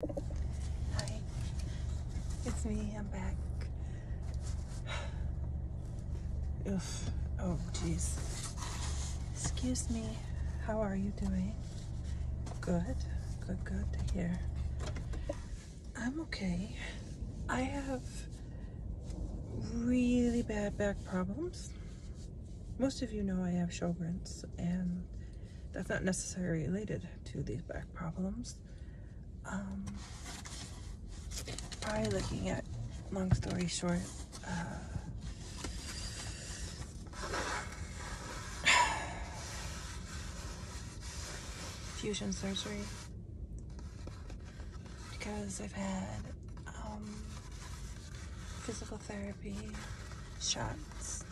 Hi, it's me, I'm back. Oof, oh jeez. Excuse me, how are you doing? Good, good, good to hear. I'm okay. I have really bad back problems. Most of you know I have Sjogren's and that's not necessarily related to these back problems. Um, probably looking at, long story short, uh, fusion surgery because I've had um, physical therapy, shots,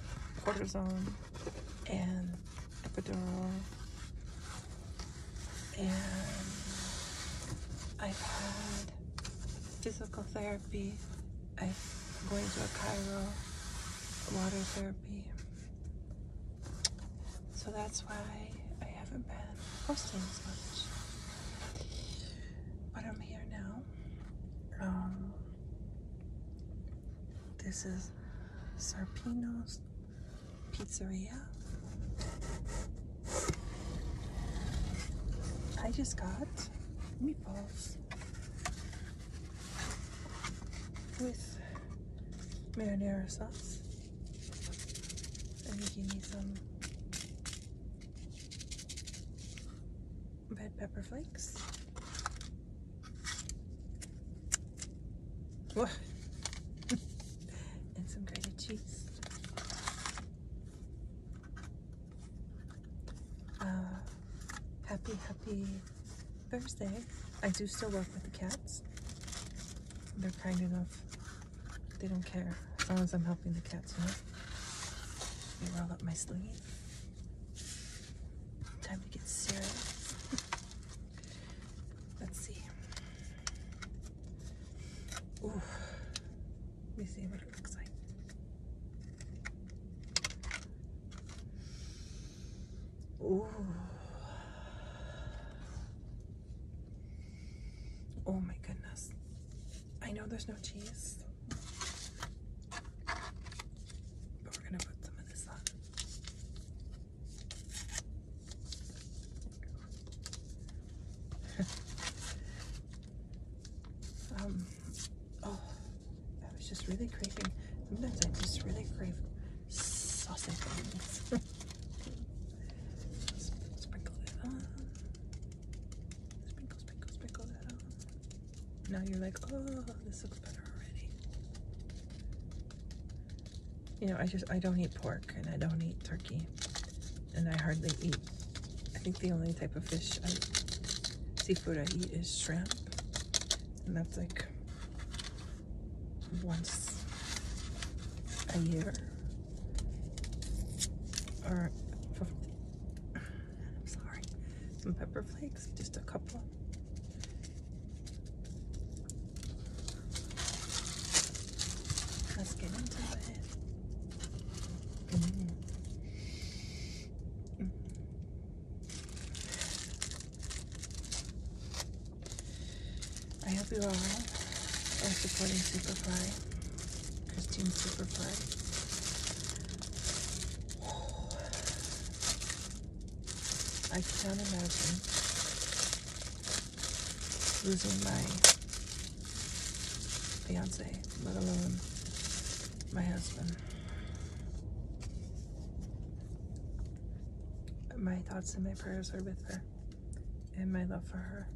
cortisone, and epidural and I've had physical therapy I'm going to a Cairo water therapy so that's why I haven't been posting as much but I'm here now um, this is Serpino's Pizzeria. I just got meatballs with marinara sauce. And he gave me some red pepper flakes. and some grated cheese. Uh, happy, happy Thursday. I do still work with the cats. They're kind enough. They don't care as long as I'm helping the cats, you They roll up my sleeves. Time to get serious. Let's see. Let me see what it looks like. Ooh. Oh my goodness. I know there's no cheese, but we're going to put some of this on. um, oh, I was just really craving. Sometimes I just really crave sausage Sprinkle, sprinkle Sprinkle, sprinkle, sprinkle that on. Now you're like, oh, this looks better already. You know, I just, I don't eat pork and I don't eat turkey. And I hardly eat, I think the only type of fish, I, seafood I eat is shrimp. And that's like once a year. Or I'm sorry. Some pepper flakes, just a couple. Let's get into it. Mm. I hope you all are supporting Superfly, Christine Superfly. I can't imagine losing my fiance, let alone my husband. My thoughts and my prayers are with her and my love for her.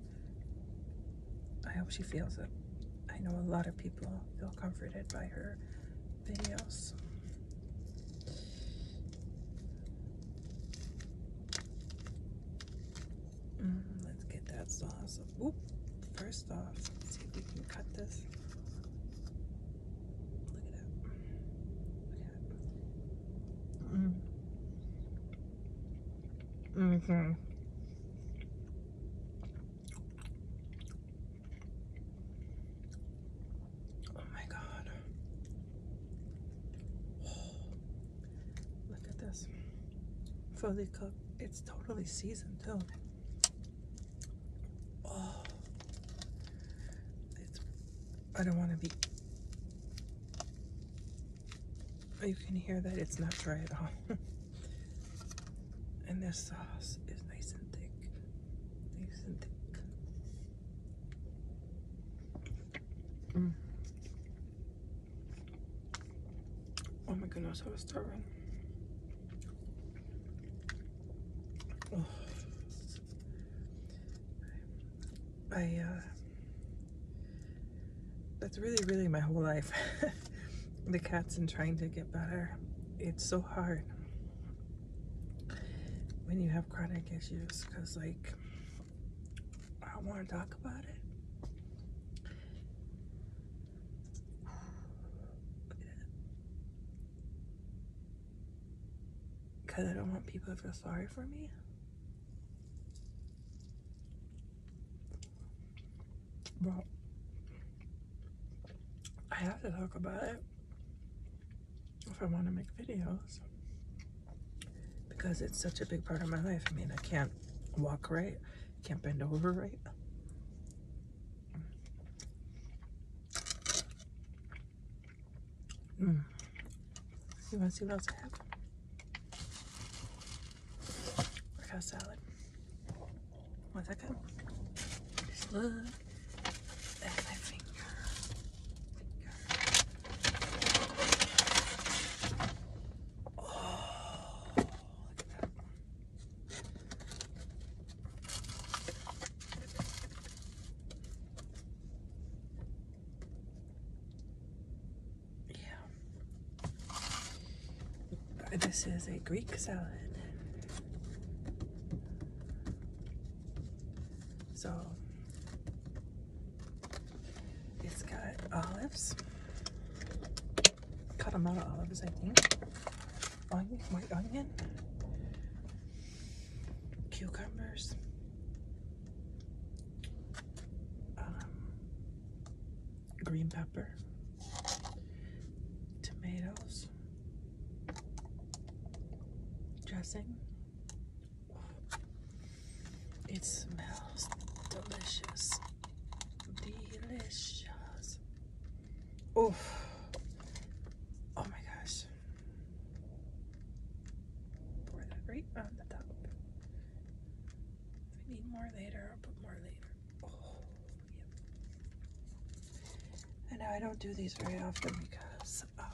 I hope she feels it. I know a lot of people feel comforted by her videos. Mm, let's get that sauce. Oop. First off, let's see if we can cut this. Look at that. Look mm. mm-hmm. Oh my God. look at this. Fully cooked. It's totally seasoned too. Oh. It's, I don't want to be. You can hear that it's not dry at all. And this sauce is nice and thick. Nice and thick. Mm. Oh my goodness, I was starving. I, uh, that's really, really my whole life. the cats and trying to get better. It's so hard when you have chronic issues because like I want to talk about it. Because I don't want people to feel sorry for me. But I have to talk about it if I want to make videos because it's such a big part of my life. I mean, I can't walk right, can't bend over right. Mm. You want to see what else I have? I got salad. Once I come, just look at my finger. Oh, look at that. Yeah. This is a Greek salad. So it's got olives, cut them out of olives, I think, onion, white onion, cucumbers, um, green pepper, tomatoes, dressing. It smells delicious. Delicious. Oh, oh my gosh. Pour that right on the top. If I need more later, I'll put more later. Oh, yeah. I know I don't do these very often because, um,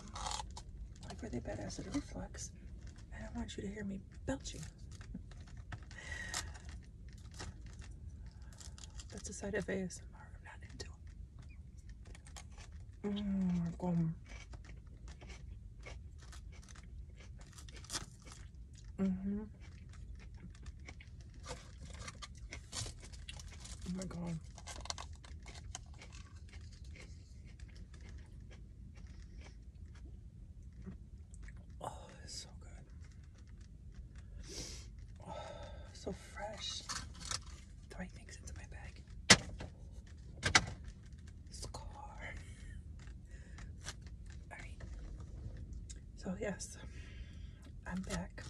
like really bad acid reflux, I don't want you to hear me belching. That's a side of ASMR. i not into it. Mmm, gum. Mm-hmm. Oh my god. Oh, it's so good. Oh, so fresh. Throwing things into my bag. Score. All right. So yes, I'm back.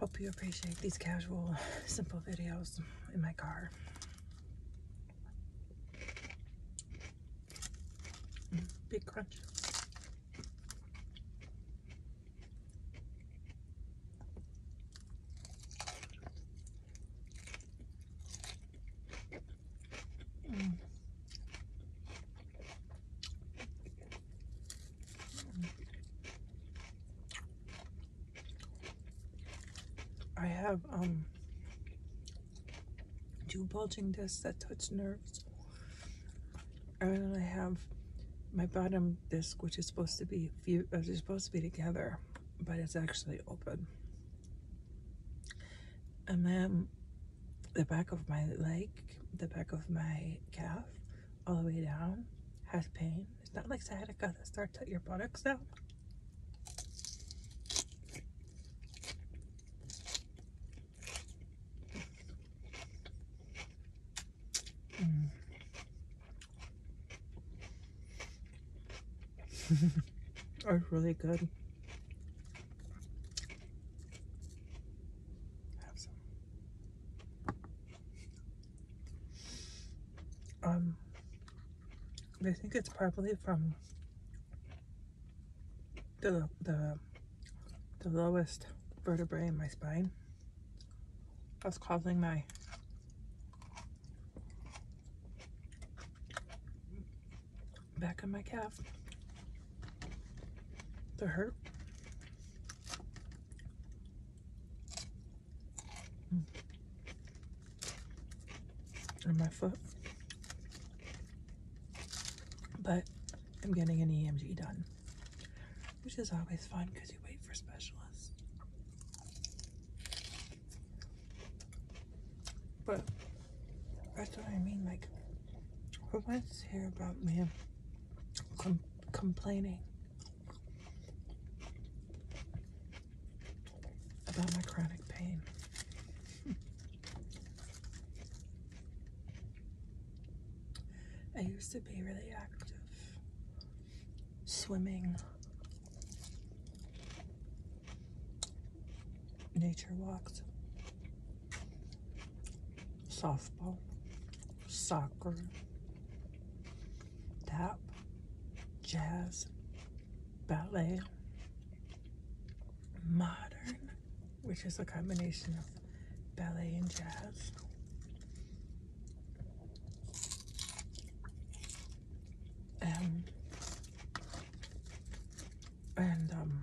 Hope you appreciate these casual, simple videos in my car. Mm-hmm. big crunch. I have um, two bulging discs that touch nerves and I have my bottom disc which is supposed to be few is uh, supposed to be together but it's actually open and then the back of my leg, the back of my calf, all the way down, has pain. It's not like sciatica that starts at your buttocks though. Mm. really good. Have some. Um, I think it's probably from the the the lowest vertebrae in my spine. That's causing my back on my calf. The hurt. Mm. And my foot. But I'm getting an EMG done, which is always fun because you wait for specialists. But that's what I mean. Like, who wants to hear about me complaining about my chronic pain? I used to be really active, swimming, nature walks, softball, soccer, tap, jazz, ballet, modern, which is a combination of ballet and jazz. Um, and um,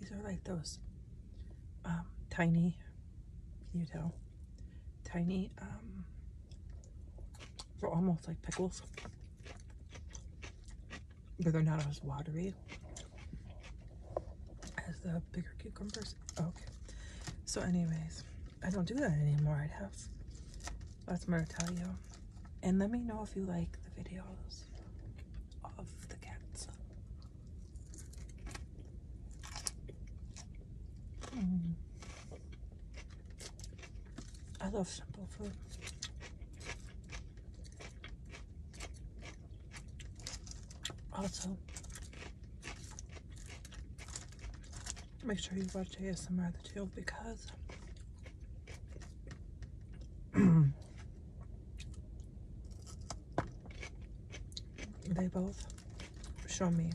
these are like those um, tiny, you tell? Tiny, um, they're almost like pickles, but they're not as watery as the bigger cucumbers. Okay, so anyways, I don't do that anymore. I'd have lots more to tell you. And let me know if you like the videos of the cats. Hmm. I love simple food. Also, Make sure you watch ASMR the too because they both show me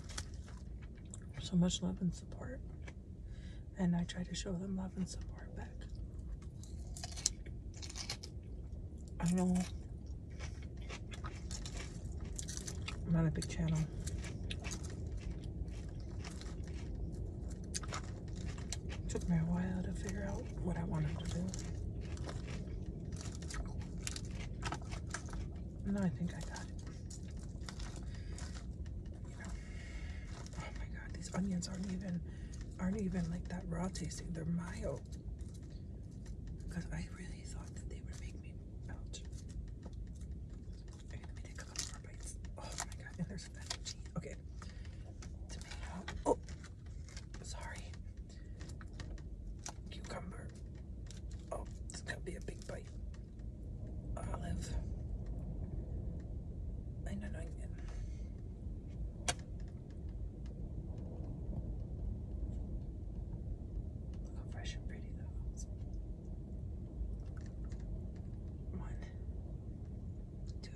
so much love and support and I try to show them love and support back. I know i not a big channel. took me a while to figure out what I wanted to do. and I think I got it. You know. Oh my god, these onions aren't even aren't even like that raw tasting. They're mild. Because I really thought that they would make me Oh my god, and there's that Okay. Tomato. Oh! Sorry. Cucumber. Oh, this could be a big bite. Olive. And an onion. Look how fresh and pretty that was. One, two, three.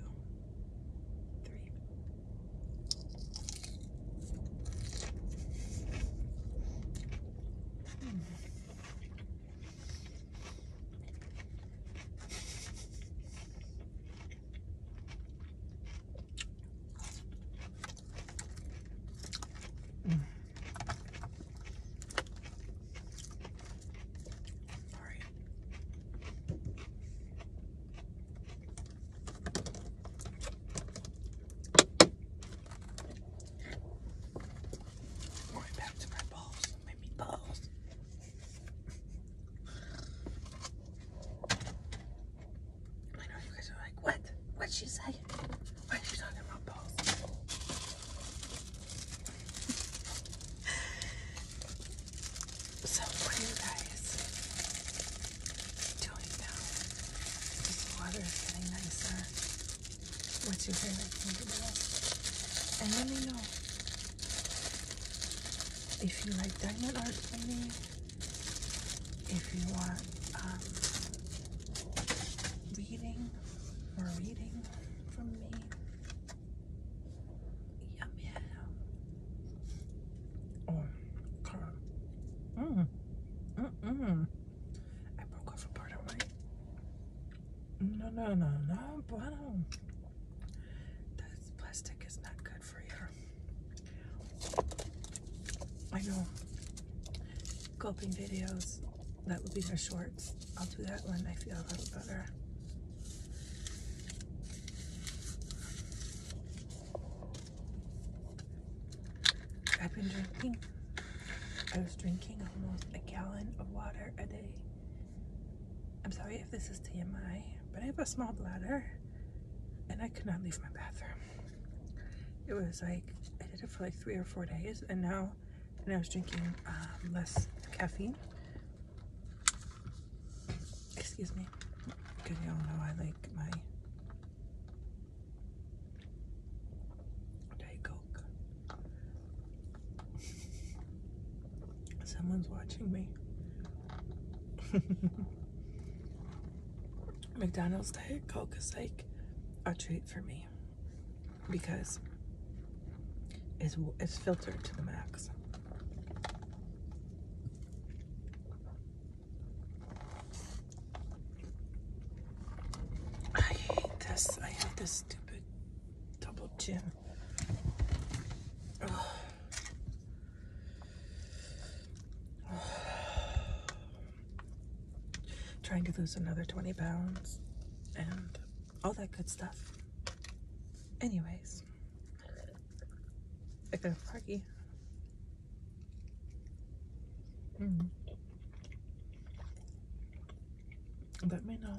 Mm. All right. back to my balls, my meatballs. I know you guys are like, what? what she say? Why are you talking about balls? so what are you guys doing now? This water is getting What's your favorite thing to do? And let me know if you like diamond art painting if you want um, reading or reading from me. Yum yeah. Oh, God. Mm. Mm mm. I broke off a part of my. No, no, no, no, bueno. That plastic is not good for you. I know. Coping videos. That would be their shorts. I'll do that when I feel a little better. I've been drinking. I was drinking almost a gallon of water a day. I'm sorry if this is TMI, but I have a small bladder and I could not leave my bathroom it was like I did it for like three or four days and now and I was drinking uh, less caffeine excuse me because y'all know I like my Diet Coke someone's watching me McDonald's Diet Coke is like a treat for me because it's, it's filtered to the max. I hate this. I hate this stupid double chin trying to lose another 20 pounds and all that good stuff. Anyways, I got a party. Mm. Let me know.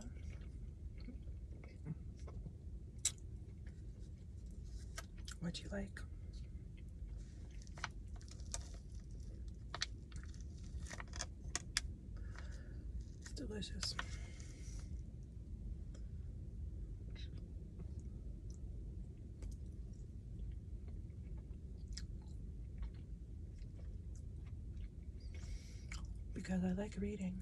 What you like? It's delicious. Because I like reading.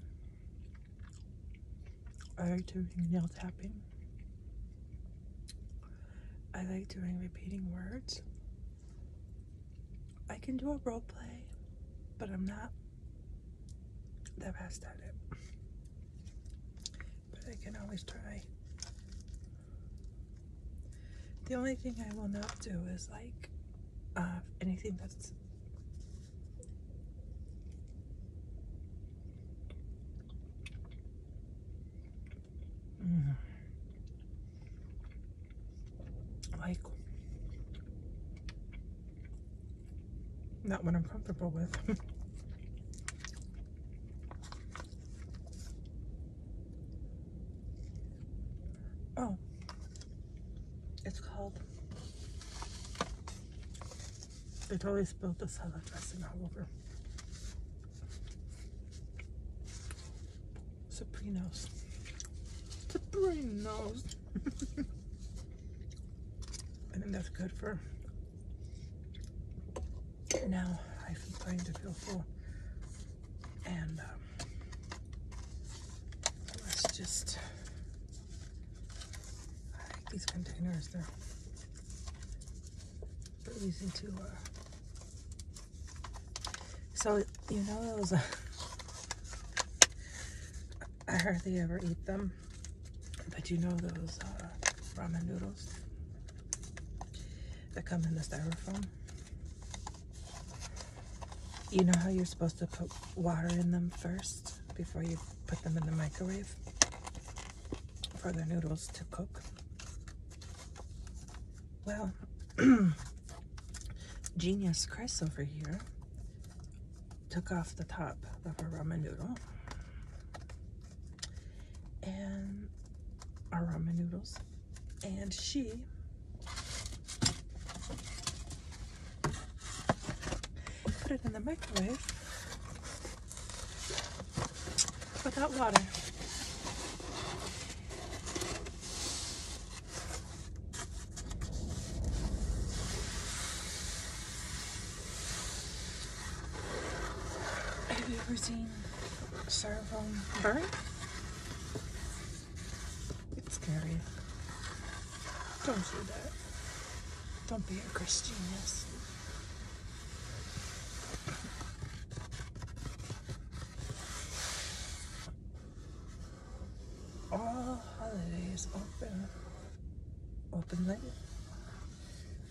I like doing nail tapping. I like doing repeating words. I can do a role play, but I'm not that best at it. But I can always try. The only thing I will not do is like uh, anything that's Mm. like not what I'm comfortable with. oh, it's called. They totally spilled the salad dressing all over. Sabrinos. Sabrinos. I think that's good for now. I'm starting to feel full. And um, let's just, I like these containers. they reason to uh, so you know those uh, I hardly ever eat them but you know those uh, ramen noodles that come in the styrofoam you know how you're supposed to put water in them first before you put them in the microwave for the noodles to cook. Well, genius Chris over here took off the top of a ramen noodle and our ramen noodles and she put it in the microwave without water. Have you ever seen styrofoam burn? It's scary. Don't do that. Don't be a Christianist. All holidays open, open late.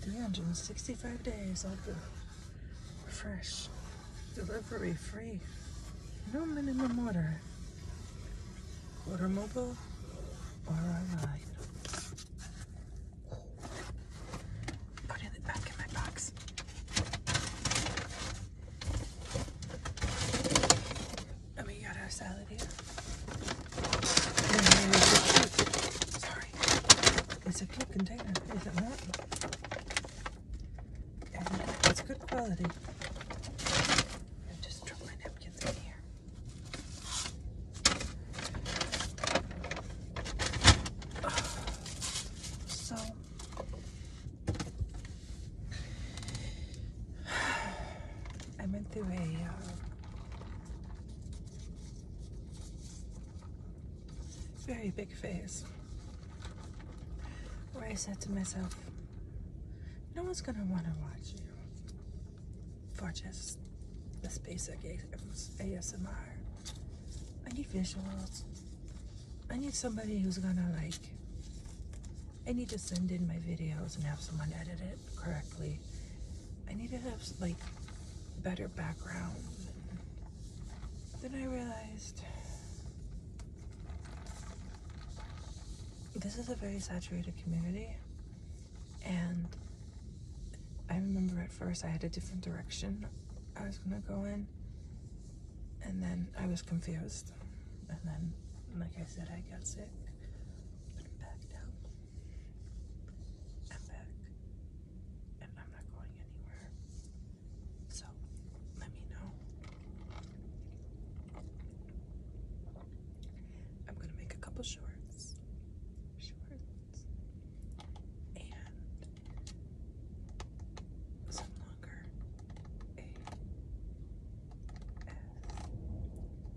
365 days open, fresh, delivery free, no minimum order. Order mobile or online. Put it back in my box. And oh, we got our salad here. Sorry. It's a cute container, is it And it's good quality. I just dropped napkins in here. So I went through a very big phase where I said to myself, no one's gonna wanna watch you for just this basic ASMR. I need visuals. I need somebody who's gonna like, I need to send in my videos and have someone edit it correctly. I need to have like better background. And then I realized this is a very saturated community and I remember at first I had a different direction I was going to go in. And then I was confused. And then, like I said, I got sick. I'm back now. I'm back. And I'm not going anywhere. So, let me know. I'm going to make a couple shorts. Shorts and some longer A S M R videos.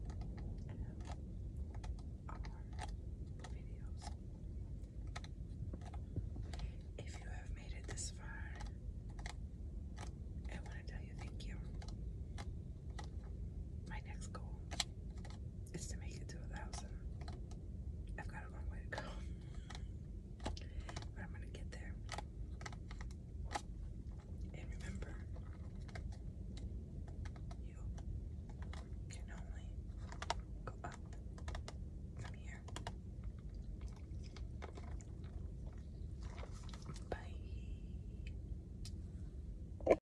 If you have made it this far, I want to tell you thank you my next goal is to make it to a thousand. I've got a long way to go, but I'm gonna get there. And remember, you can only go up from here. Bye.